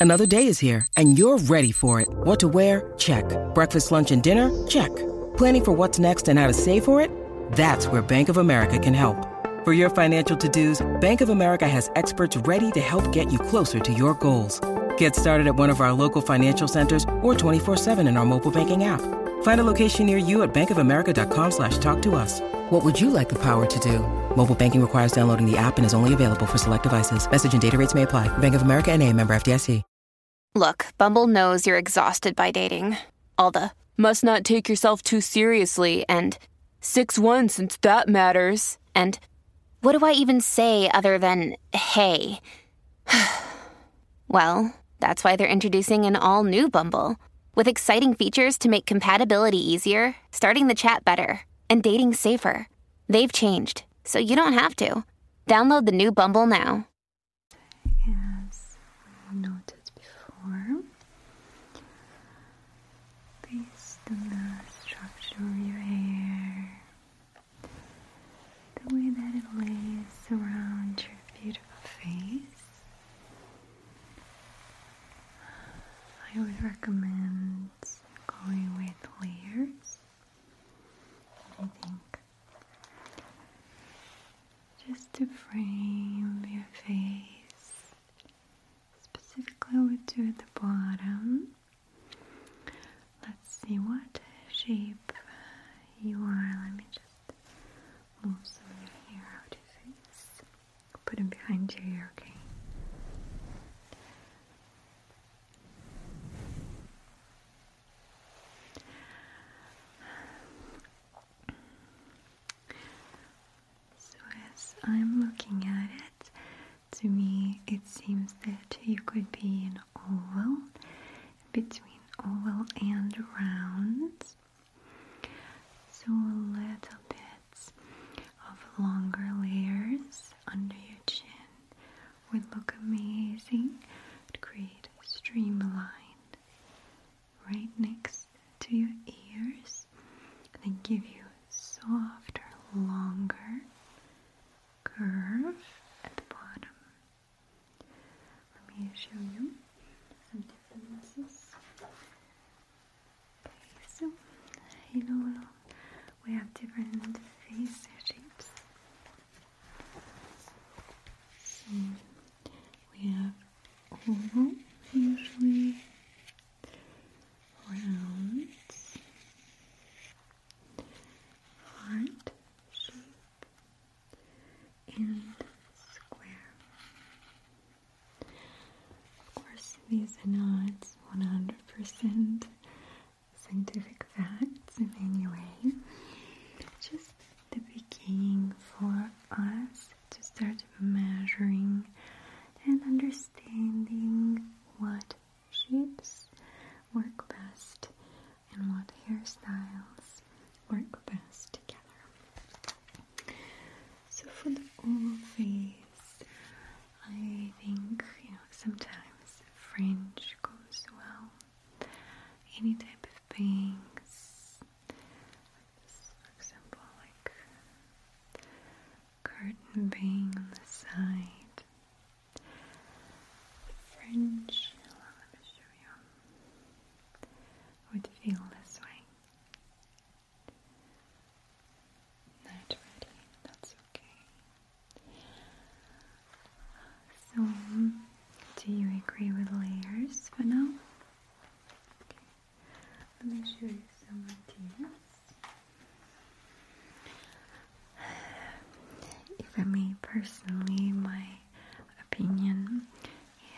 Another day is here, and you're ready for it. What to wear? Check. Breakfast, lunch, and dinner? Check. Planning for what's next and how to save for it? That's where Bank of America can help. For your financial to dos, Bank of America has experts ready to help get you closer to your goals. Get started at one of our local financial centers or 24-7 in our mobile banking app. Find a location near you at bankofamerica.com slash talk to us. What would you like the power to do? Mobile banking requires downloading the app and is only available for select devices. Message and data rates may apply. Bank of America and a member FDIC. Look, Bumble knows you're exhausted by dating. All the must not take yourself too seriously and 6-1 since that matters and what do I even say other than hey? well, that's why they're introducing an all new Bumble with exciting features to make compatibility easier, starting the chat better, and dating safer. They've changed, so you don't have to. Download the new Bumble now. As noted before, based on the structure your hair, the way that it lays around your beautiful face. I would recommend going with layers. I think just to frame your face, specifically, I would do at the bottom. Let's see what shape you are. Let me just move some of your hair out of your face. Put it behind your ear, okay? So, as I'm looking at it, to me, it seems that you could be an oval between oval and round. So, little bits of longer layers under your chin would look amazing. It create streamlined right next to your ears. They give you softer, longer curve at the bottom. Let me show you some differences. Okay, so you hello, we have different face shapes. So we have oval usually, round, heart shape and square. Of course, these are not 100% scientific facts in any way, just the beginning for us to start measuring and understanding what shapes work best and what hairstyles work best together. So for the oval face, I think you know sometimes fringe goes well. Any type of bangs, for example, like curtain bang on the side. French. Would feel this way. Not ready. That's okay. So, do you agree with layers for now? Let me show you some ideas even me personally, my opinion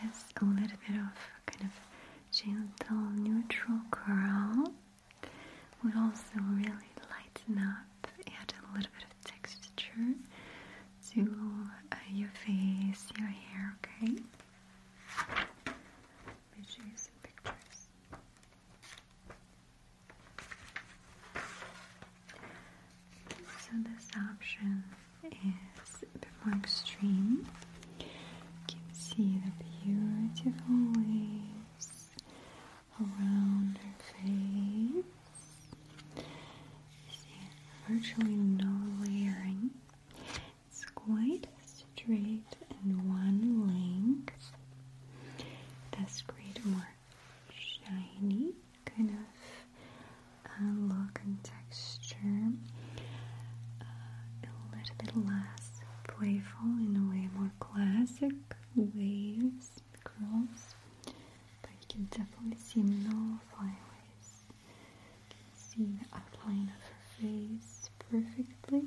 is a little bit of kind of gentle, neutral coral would also really lighten up, and a little bit of texture to uh, your face, your hair, okay? Let me show pictures. So this option is a bit more extreme. You can see the beautiful waves around her face. virtually no layering. It's quite straight and one length. That's great work shiny kind of uh, look and texture. Uh, a little bit less playful in a way, more classic waves, curls. But you can definitely see no flyaways. You can see the outline of her face perfectly.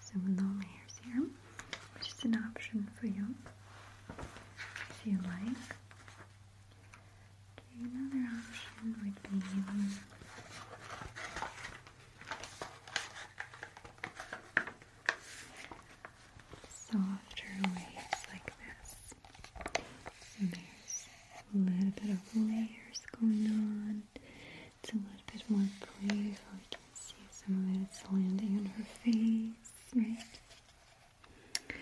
So no hairs here which is an option for you if you like. another option would be softer waves like this. So there's a little bit of layers going on. It's a little bit more playful. See some of it's landing on her face, right?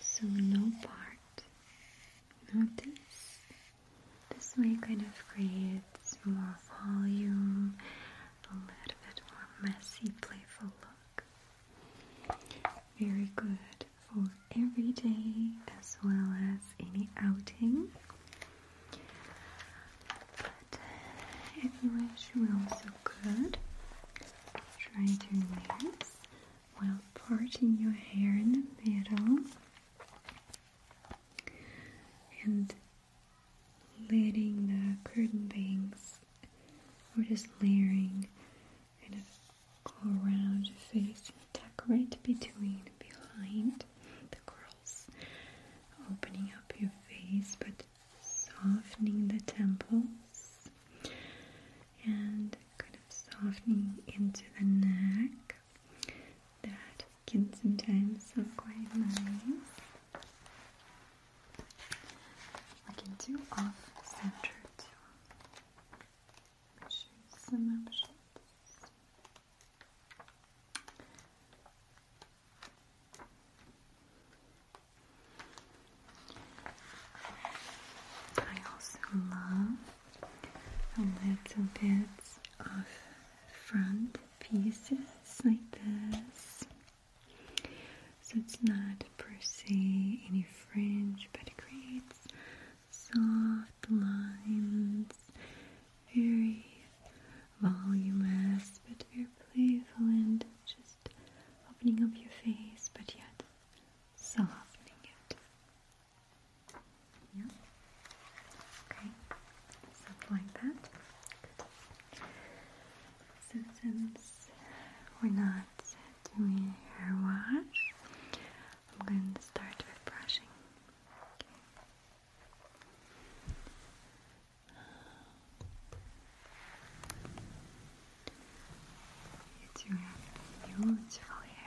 So no part. Notice this way kind of creates more volume, a little bit more messy, playful look. Very good for every day as well as any outing. But uh, if you wish, we also could try to relax while parting your hair in the middle and letting the curtain bangs or just layering kind of go around your face and tuck right between behind the curls, opening up your face but softening the temples and kind of softening into the neck. That can sometimes look quite nice. I can do off center too. Show some options. I also love a little bit of front pieces like this. So it's not per se any fringe, but it creates soft lines, very voluminous but very playful and just opening up your face but yet softening it. Yeah? Okay. Something like that. So since we're not doing hair wash, I'm going to start with brushing. You do have beautiful hair.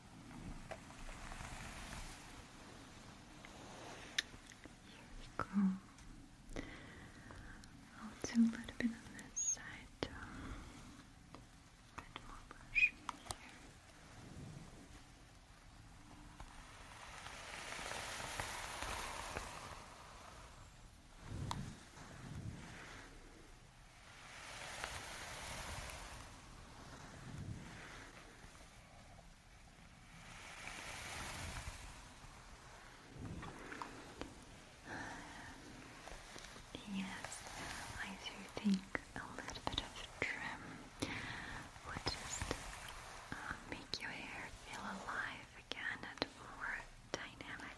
we go. I'll do a little bit on this side um, A bit more brushing here. Yes, I do think a little bit of trim would just uh, make your hair feel alive again and more dynamic.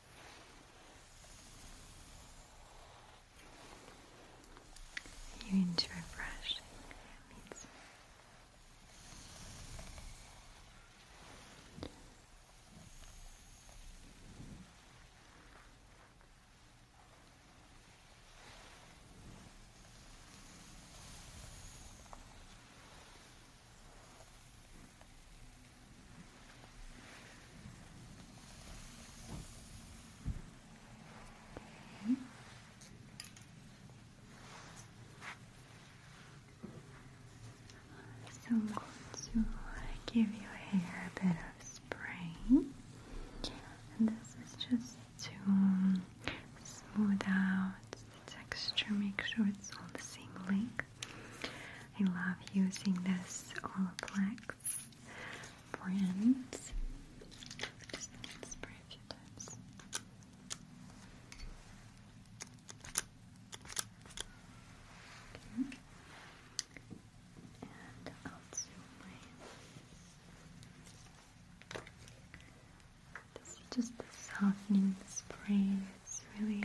You into refreshing. Yeah, so I'm going to give your hair a bit of spray, and this is just to um, smooth out the texture, make sure it's all the same length. I love using this Olaplex brand. Just spray a few times. And I'll zoom in. This is just the softening spray. It's really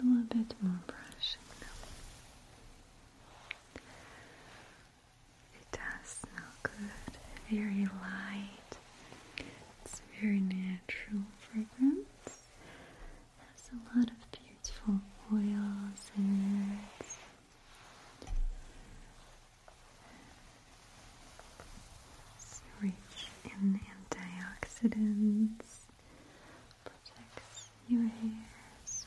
a little bit more brushing It does smell good, very light. It's very natural fragrance. There's a lot of beautiful oils in it. rich in antioxidants, protects your hair as it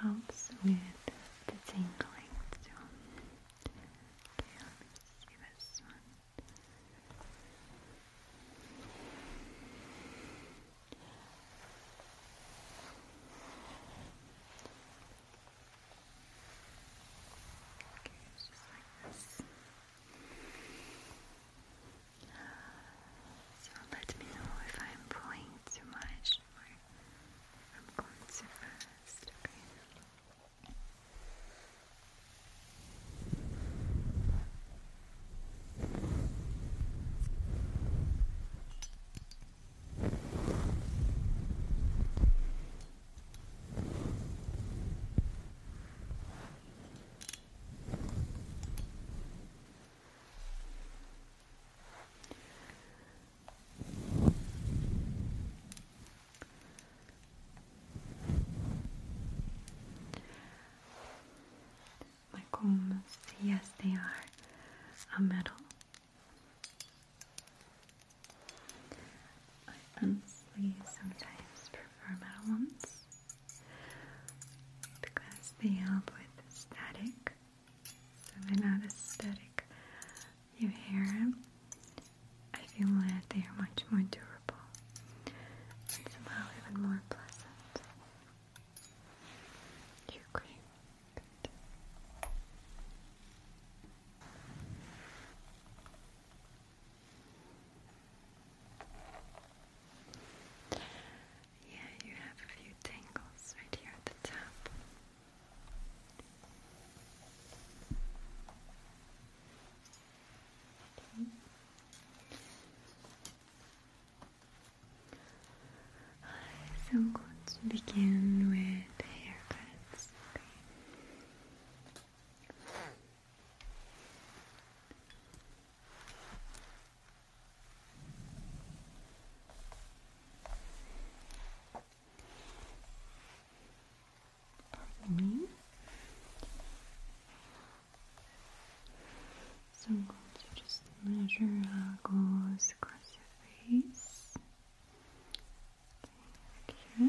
helps with the tingling Okay, just like this. So let me know if I'm pulling too much or I'm going too fast, my combs, yes, they are a metal. I honestly sometimes prefer metal ones because they help with static so they're not aesthetic. You hear them? I feel that they are much more durable and even more pleasant. you agree? Yeah, you have a few tangles right here at the top. I'm going begin with haircuts. Pardon me. So I'm going to just measure how it goes across your face. here.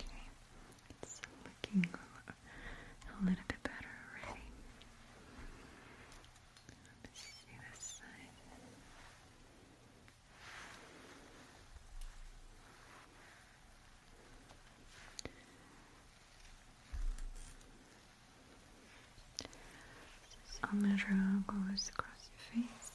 Okay, it's looking a little bit better already. Let's see this side i Omega goes across your face.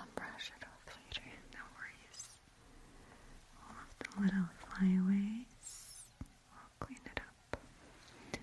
I'll brush it off later, no worries all of the little flyaways. I'll clean it up. Okay.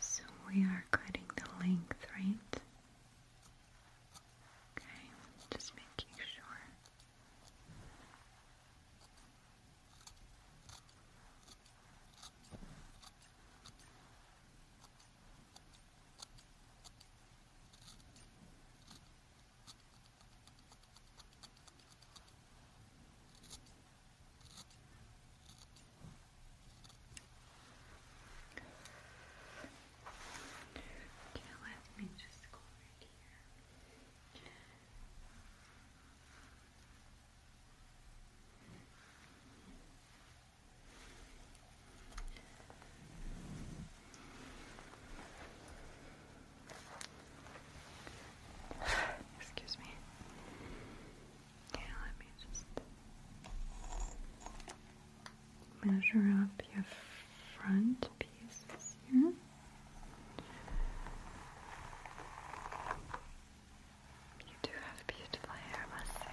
So we are cutting the length, right? Okay, just making sure. Okay, let me just go right here. Excuse me. Yeah, let me just measure up your front pieces here. You do have beautiful hair, I must say.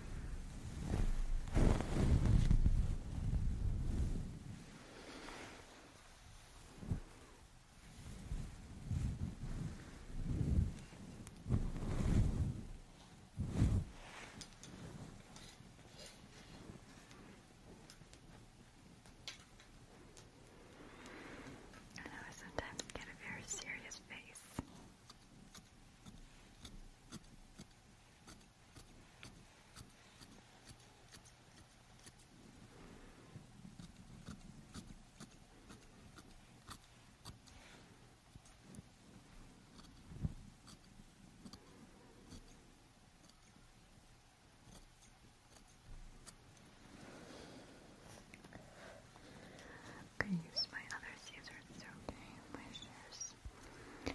I know I sometimes get a very serious face. I use my other scissors, okay, my shears.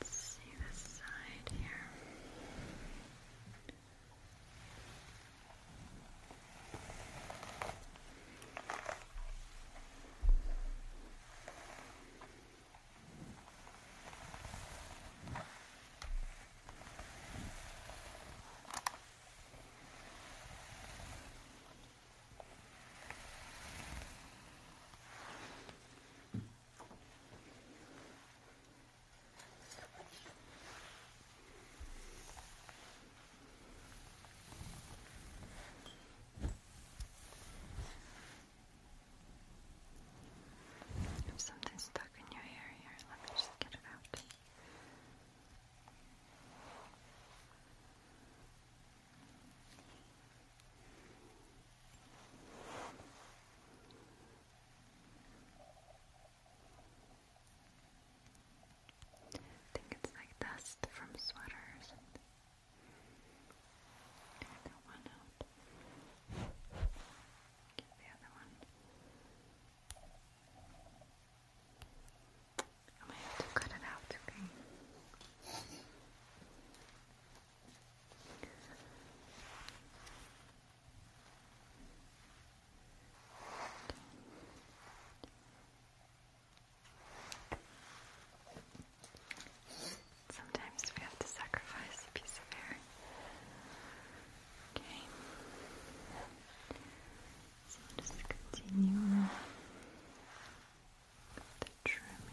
Let's see this side here. Okay. There's something stuck in your hair here. Let me just get it out. I think it's like dust from sweaters. Get that one out. Get the other one. I might have to cut it out, okay? Sometimes we have to sacrifice a piece of hair. Okay. So just continue with the trimming.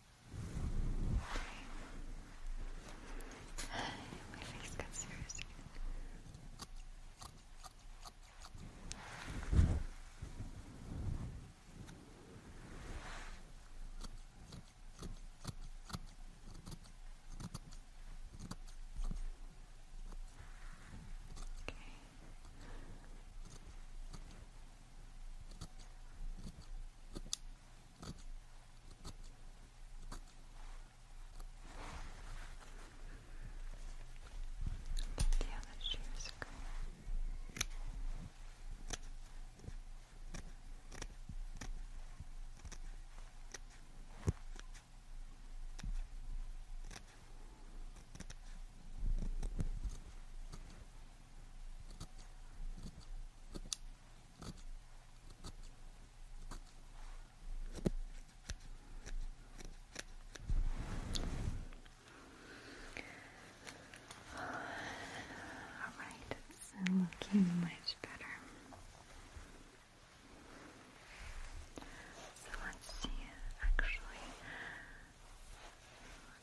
My face got serious Okay. The other chairs are good. Okay. Alright, it's looking much better. So let's see, actually,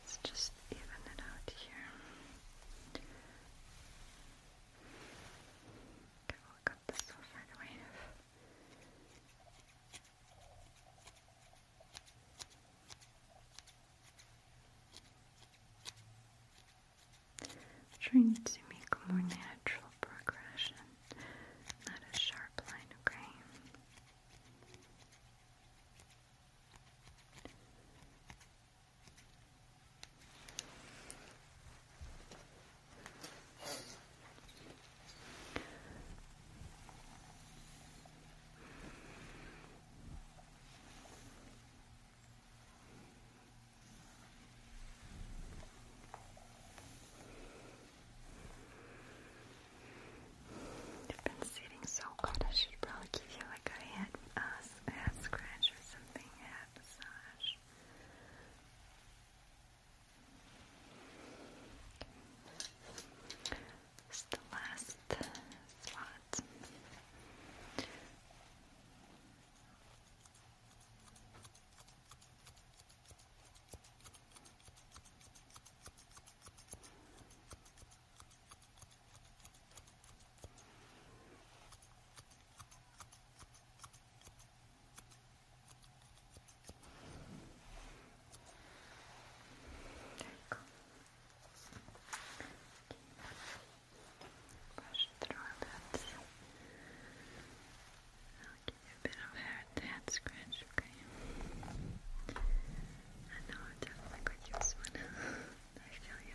let's just even it out here trying to make a more natural progression, not a sharp line, okay? You've been sitting so good, probably give you like a head, uh, a, scratch or something massage. Okay. the last spot. Brush through a bit. I'll give you a bit of hair head scratch, okay? I know I definitely could use one. I feel you.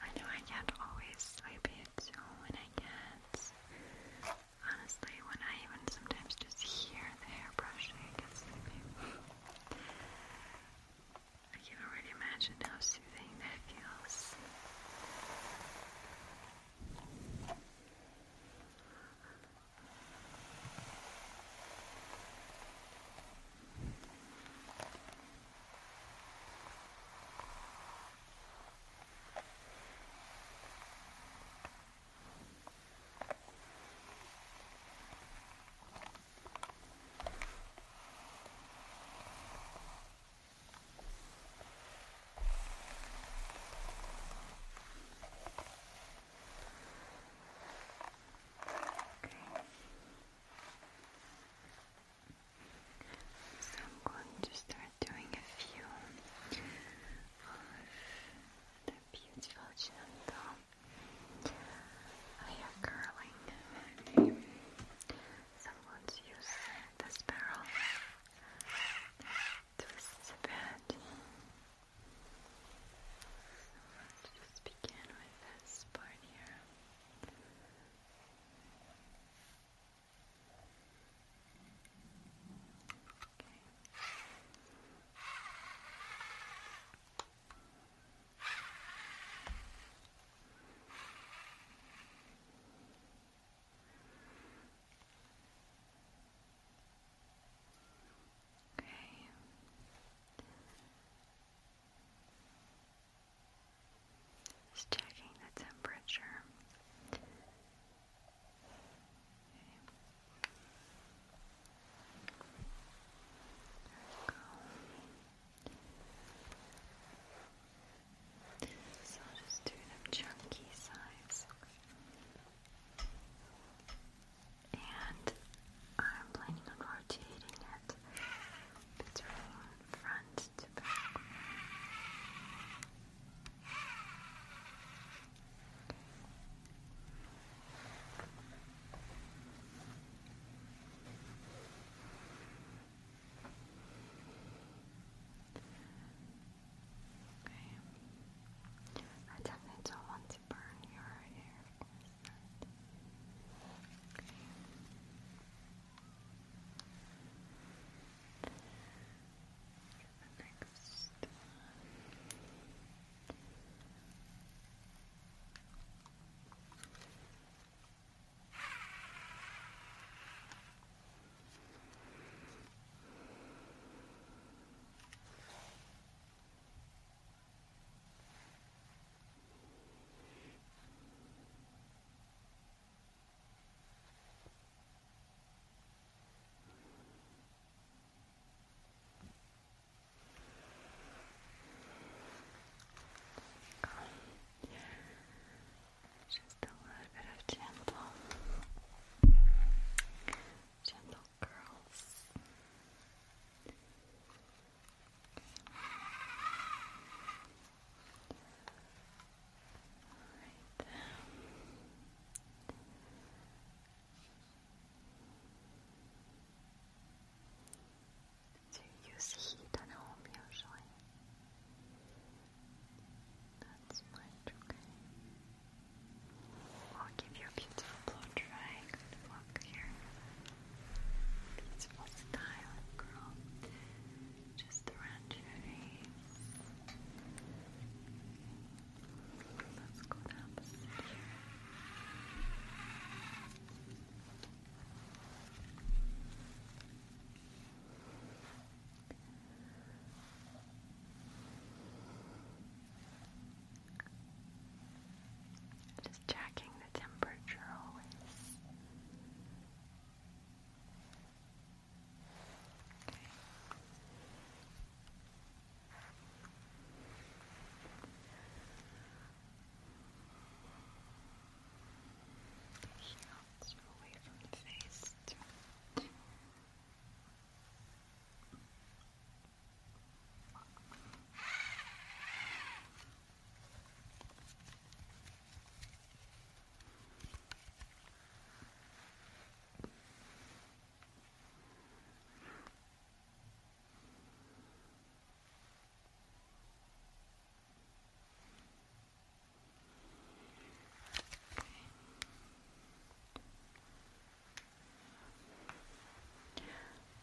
I know I can't always swipe it, so when I get Honestly, when I even sometimes just hear the hair brushing, I get sleepy. I can already imagine how soothing that feels. So I'm going to start doing a few of the beautiful gentle hair curling. So let's use this let's just begin with this part here. Okay. Just checking the temperature. Okay. So I'll just do them chunky sides. And I'm planning on rotating it between front to back. Okay. I definitely don't want to burn your hair, the next one. Okay. Just a little bit of gentle, gentle curls. Okay. Alright. Do you use heat at home usually? That's much okay. I'll give you a beautiful blow dry. Good here. Beautiful style, girl. Just around your face. Let's go the opposite Just checking the temperature always. Okay. The heels away from the face. Too. Okay.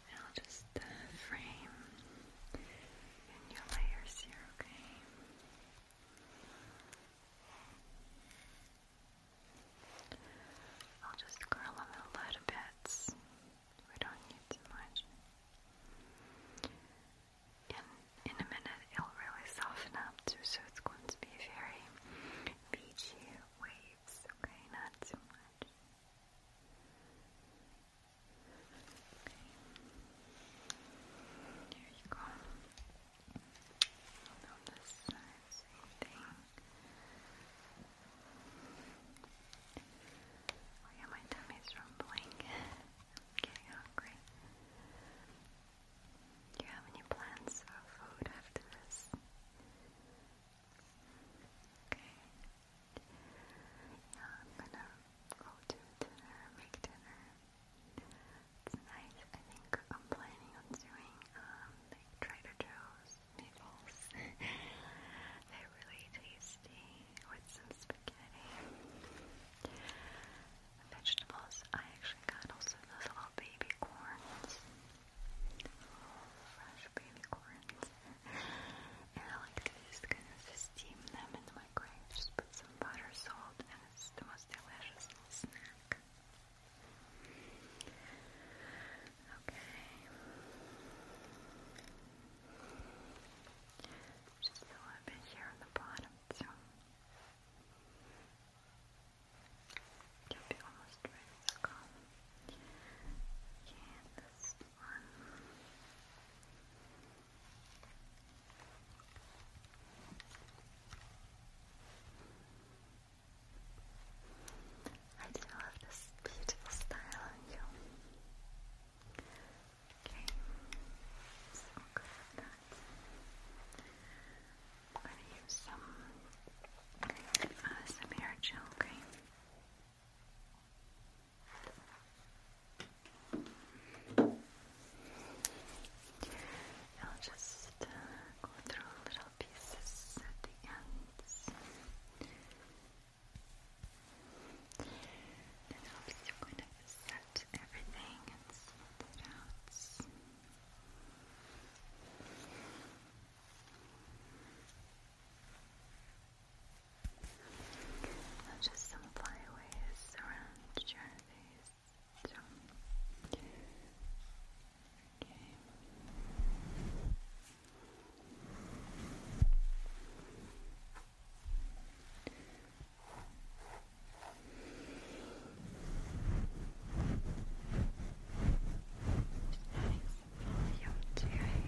Now just uh, frame your layers here, Okay. I'll just curl them a little bit. We don't need too much. In in a minute, it'll really soften up too, so it's going to be very beachy waves. Okay, not too much. Okay. you go. And on this side, same thing. Oh yeah, my tummy's rumbling. I'm getting hungry. Do you have any plans for food after this? Okay. Now I'm gonna go to dinner, make dinner. It's nice. I think I'm planning on doing um, like Trader Joe's meatballs. They're really tasty with some spaghetti. Vegetables. I actually got also those little baby corns. fresh baby corns. and I like to just kind of steam them in the microwave. Just put some butter, salt, and it's the most delicious little snack. Okay. Just a little bit here on the bottom, so you'll be almost ready to go. Yeah, one. I do love this beautiful style on you. Okay, so I'm gonna use some uh, some hair gel, okay? I'll just uh, go through little pieces at the ends. That helps you kind of set everything and smooth it out. just some flyaways around your face. So. Okay. Volume to your hair.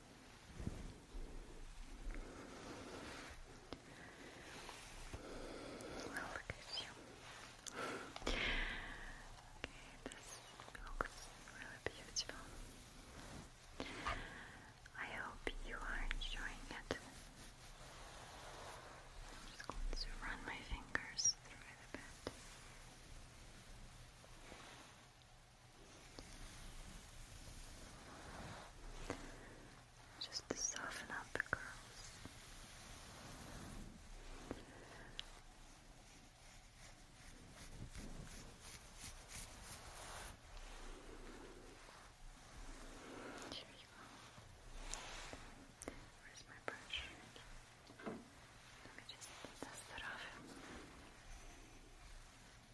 Well, look at you. okay, this looks really beautiful. I hope you are enjoying it. just going to run my fingers through it a just to soften up the curls. Here you go. Where's my brush? Let me just dust off.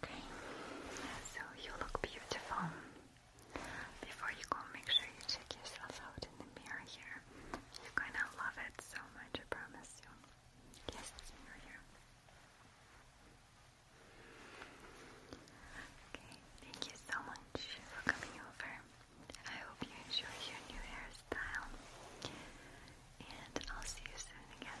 Okay, so you look beautiful. Before you go, make sure you check yourself out in the mirror here. You're gonna love it so much, I promise you. Yes, mirror here. Okay, thank you so much for coming over. I hope you enjoy your new hairstyle. And I'll see you soon again.